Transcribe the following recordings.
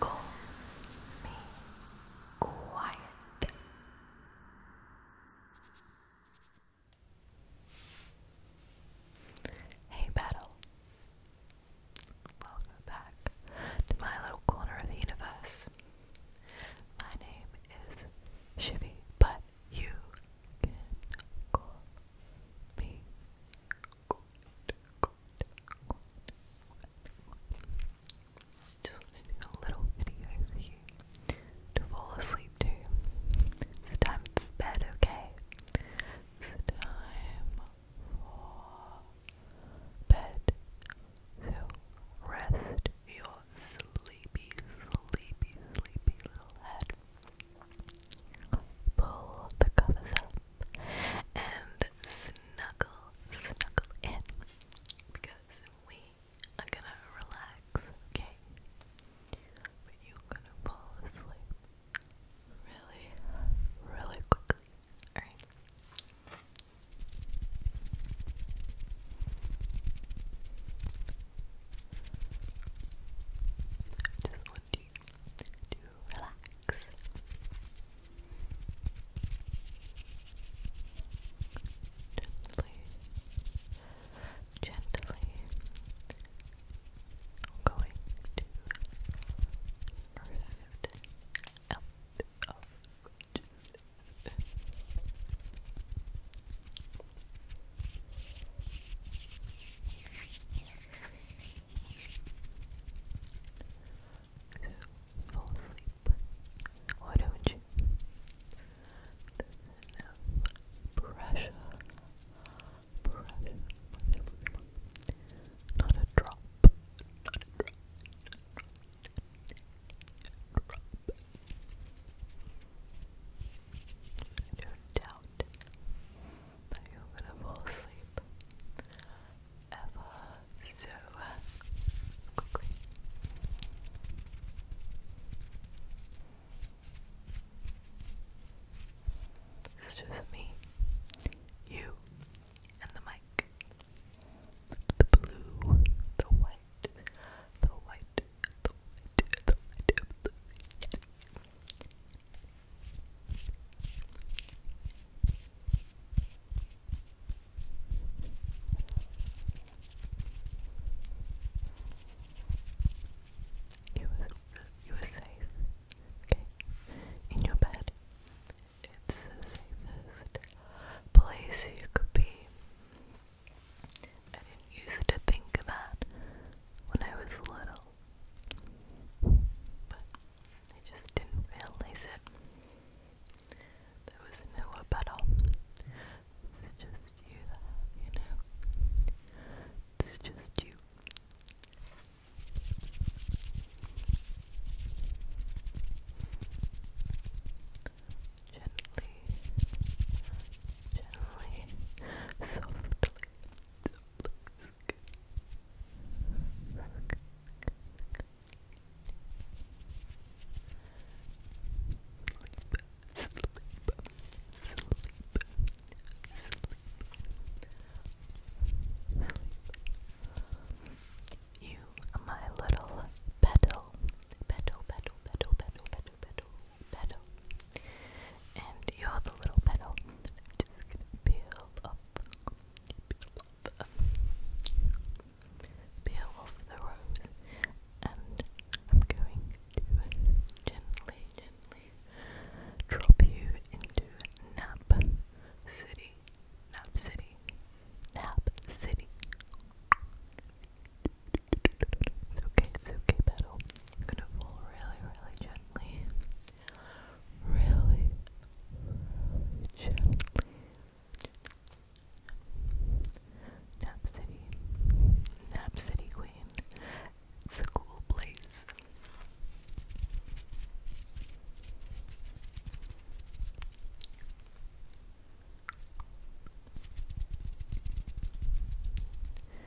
Go me quiet. Hey, Battle. Welcome back to my little corner of the universe. My name is Shivy, but you can call me good, good, Just want to do a little video for to fall asleep to. It's time for bed, okay? It's time for bed. So rest your sleepy, sleepy, sleepy little head. Pull the covers up and snuggle, snuggle in because we are gonna relax, okay? But you're gonna fall asleep really, really quickly, alright? want relax. Gently, gently, going to drift out of so fall asleep. Why don't you? pressure. Pressure. Not a drop. drop. Drop. I doubt that you're gonna fall asleep ever so quickly. It's just me, you, and the mic. The blue, the white, the white, the white, the white. You were, you were safe, okay? In your bed. It's the safest place you could be. I used to think that when I was little well. I just didn't realize it. There was no battle. It's just you you know. It's just you. Gently, gently, softly, looks You, my little petal, petal, petal, petal, petal, petal, petal, petal. And you're the little petal that just gonna peel up, peel up, peel off the rose, and I'm going to gently, gently drop you into Nap City, Nap City, Nap City. It's okay, it's okay, petal. I'm gonna fall really, really gently gently, really, really gently. Nap City, Nap City Queen, the cool place.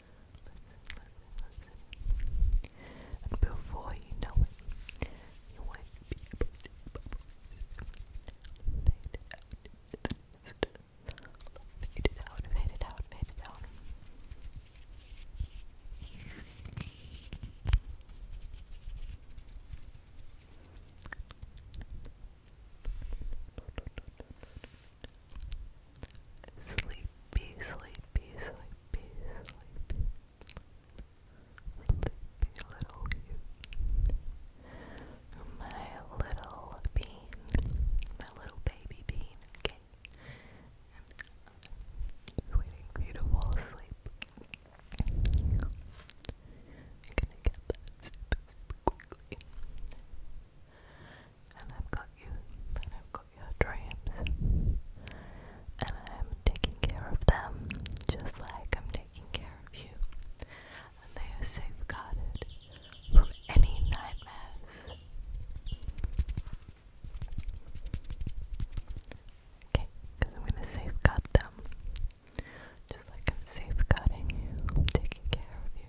listen, before you know it, you won't be able to fade it out, fade it out, fade it out, Sleepy, sleepy, sleepy, sleepy. Sleepy little you. My little bean. My little baby bean, okay? I'm waiting for you to fall asleep. You're gonna get that super, quickly and I've got you, and I've got your dreams, and I'm taking care of them just like I'm taking care of you, and they are safeguarded from any nightmares. Okay, because I'm going to safeguard them just like I'm safeguarding you, taking care of you.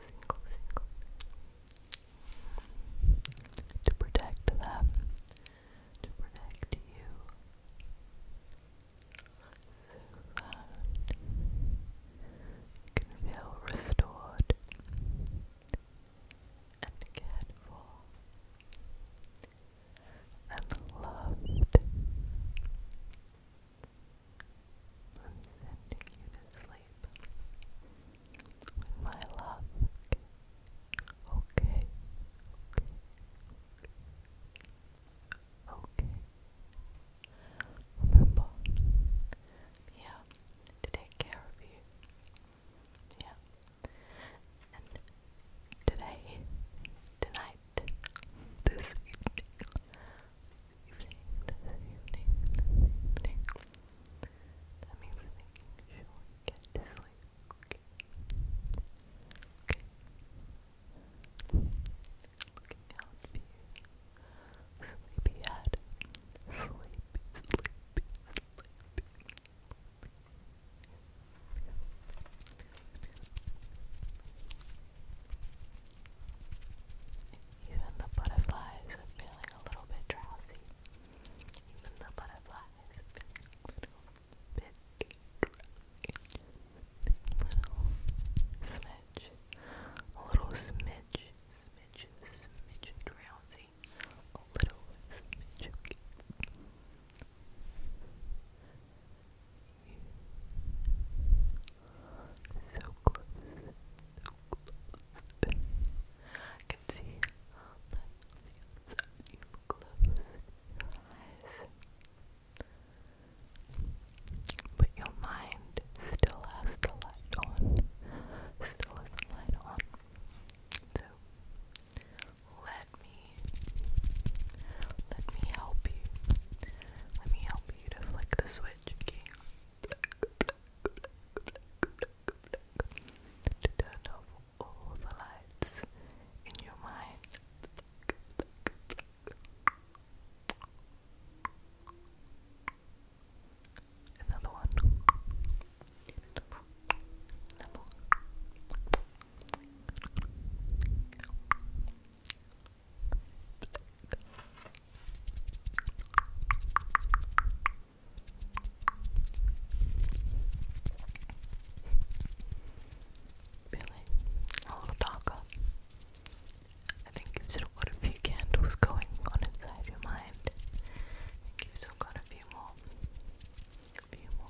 closing, To protect them, to protect you. So that you can feel restored and cared for and loved. I'm sending you to sleep with my love. Okay. Okay. Okay. Okay. Remember, yeah, to take care of you. Yeah. And today, tonight, this evening, evening, this evening, evening. That means making sure you get to sleep, okay? Looking out for you. Sleepyhead. Sleepy, sleepy, sleepy. Sleepy. Even the butterflies are feeling a little bit drowsy. Even the butterflies are feeling a little bit drowsy. Little smidge. A little smidge. Smidge. Smidge drowsy. A little smidge. So close, I can see that on you eyes. But your mind still has the light on. Still has the light on. So let me let me help you. Let me help you to flick the switch, to turn off all the lights in your mind. Another one. Another one. Another one. Really? A little darker. I think you still got a few candles going on inside your mind. you still got a few more. A few more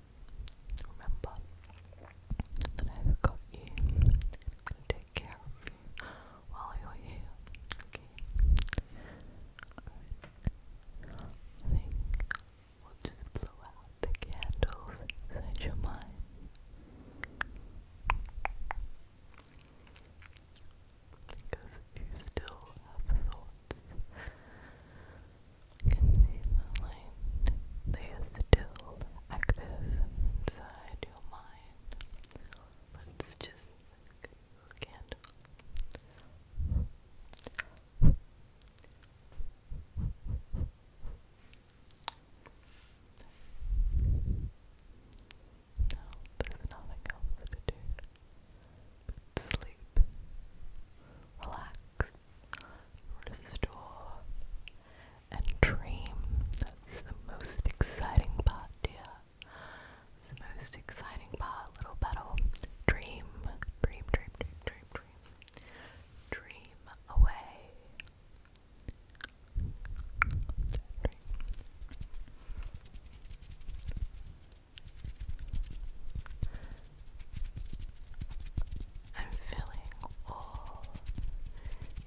Remember that I've got you. I'm gonna take care of you while you're here. Okay. I think we'll just blow out the candles inside your mind. Because you still have thoughts can see the light. They are still active inside your mind. Let's just make a candle. there's nothing else to do sleep, relax, restore, and dream. That's the most exciting part, dear. It's the most exciting part, little battle. Dream, dream, dream, dream, dream, dream. away. Dream. I'm filling all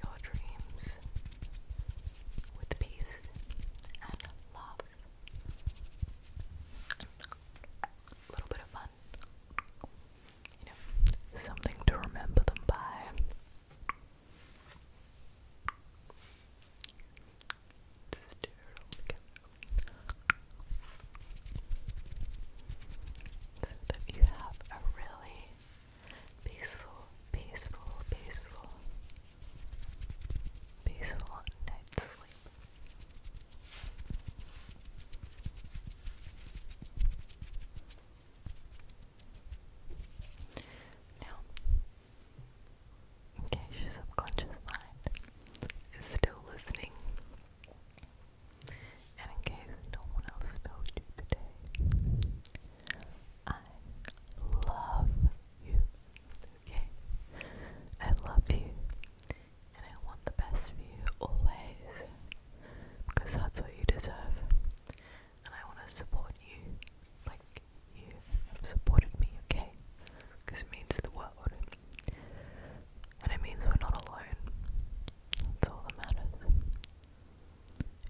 your dreams with peace and love. A little bit of fun. You know, something to remember them by. Just so that you have a really peaceful, peaceful, peaceful, peaceful night's sleep. Now, in subconscious mind is still listening. And in case no one else knows you today, I love you. Okay? I love you. And I want the best for you always. Because that's what you deserve. And I want to support you like you have supported me, okay? Because it means the world. And it means we're not alone. That's all that matters.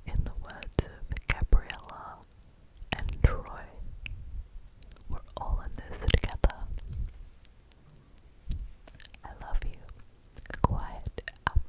In the words of Gabriella and Troy, we're all in this together. I love you. Quiet out.